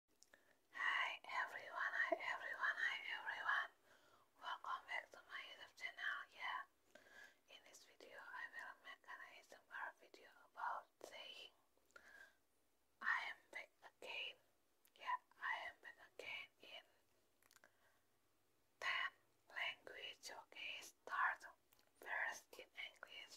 Hi everyone, hi everyone, hi everyone. Welcome back to my YouTube channel. Yeah, in this video I will make an ASMR video about saying I am back again. Yeah, I am back again in 10 language. Okay, start first in English.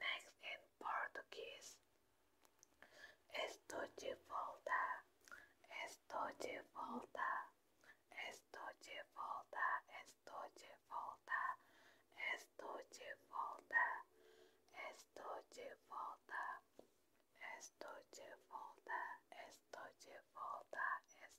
next in Portuguese. Estou de volta, estou de volta, estou de volta, estou de volta, estou de volta, estou de volta, estou de volta, estou de volta, estou de volta.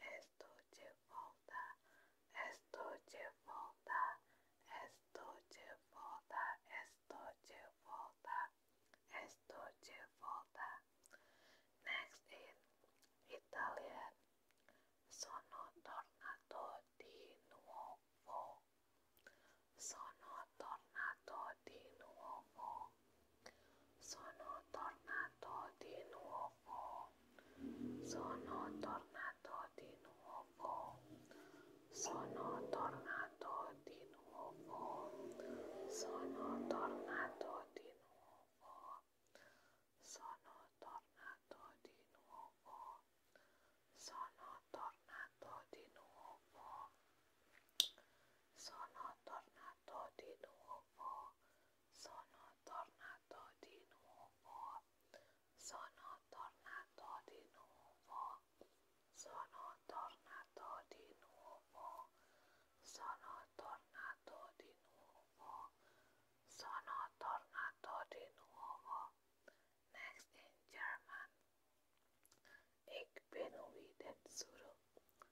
esto te falta, esto te falta, esto te falta, esto te falta, esto te falta. Next in Italian. Sono tornato di nuovo. Sono tornato di nuovo. Sono tornato di nuovo. Sono tornato di nuovo. Sono tornato di nuovo. Sono tornato di nuovo. Sono tornato di nuovo. Sono tornato di nuovo. Sono tornato di nuovo sono tornato di nuovo, sono tornato di nuovo, sono tornato di nuovo, sono tornato di nuovo, sono tornato di nuovo. Next in German. Ich bin wieder zurück.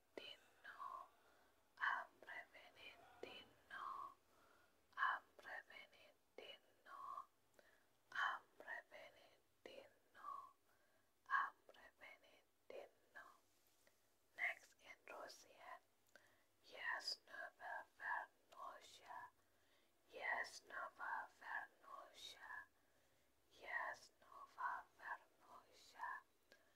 Tino, Amrevenentino, Amrevenentino, Amrevenentino, Amrevenentino. Next in Russian, yes, never vernosha, yes, never vernosha, yes, never vernosha.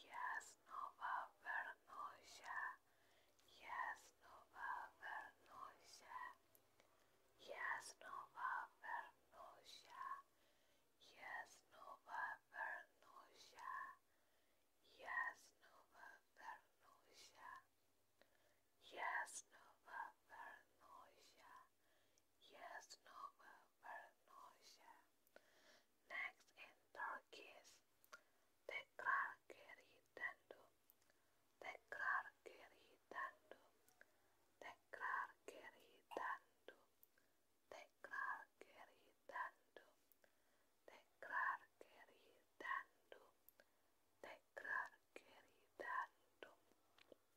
Jasnowa Vernosia, Jasnowa Vernosia, Jasnowa Vernosia, Jasnowa Vernosia, Jasnowa Vernosia, Jasnowa Vernosia. Yes, Nova Paranoia. Next in Turkish, tekrar geri döndü, tekrar geri döndü, tekrar geri döndü, tekrar geri döndü, tekrar geri döndü, tekrar geri döndü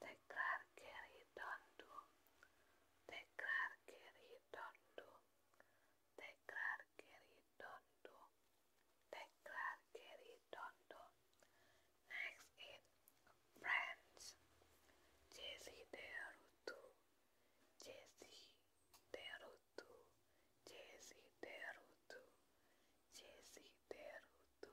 Tekrar geri döndü. Tekrar geri döndü. Tekrar geri Next in French. Jesse derutu. Jesse derutu. Jesse derutu. Jesse derutu.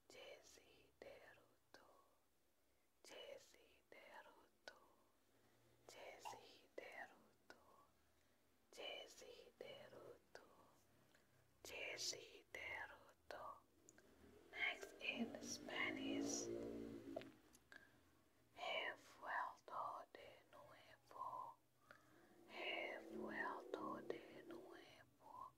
desideruto, desideruto, desideruto, desideruto, desideruto. Next in Spanish, he vuelto de nuevo, he vuelto de nuevo.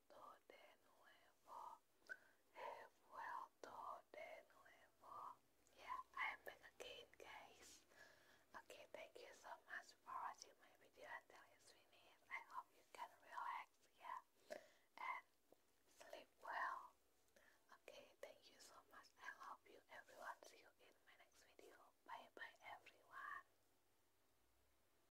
vuelto Yeah, I am back again, guys. Okay, thank you so much for watching my video until it's finished. I hope you can relax, yeah, and sleep well. Okay, thank you so much. I love you, everyone. See you in my next video. Bye bye, everyone.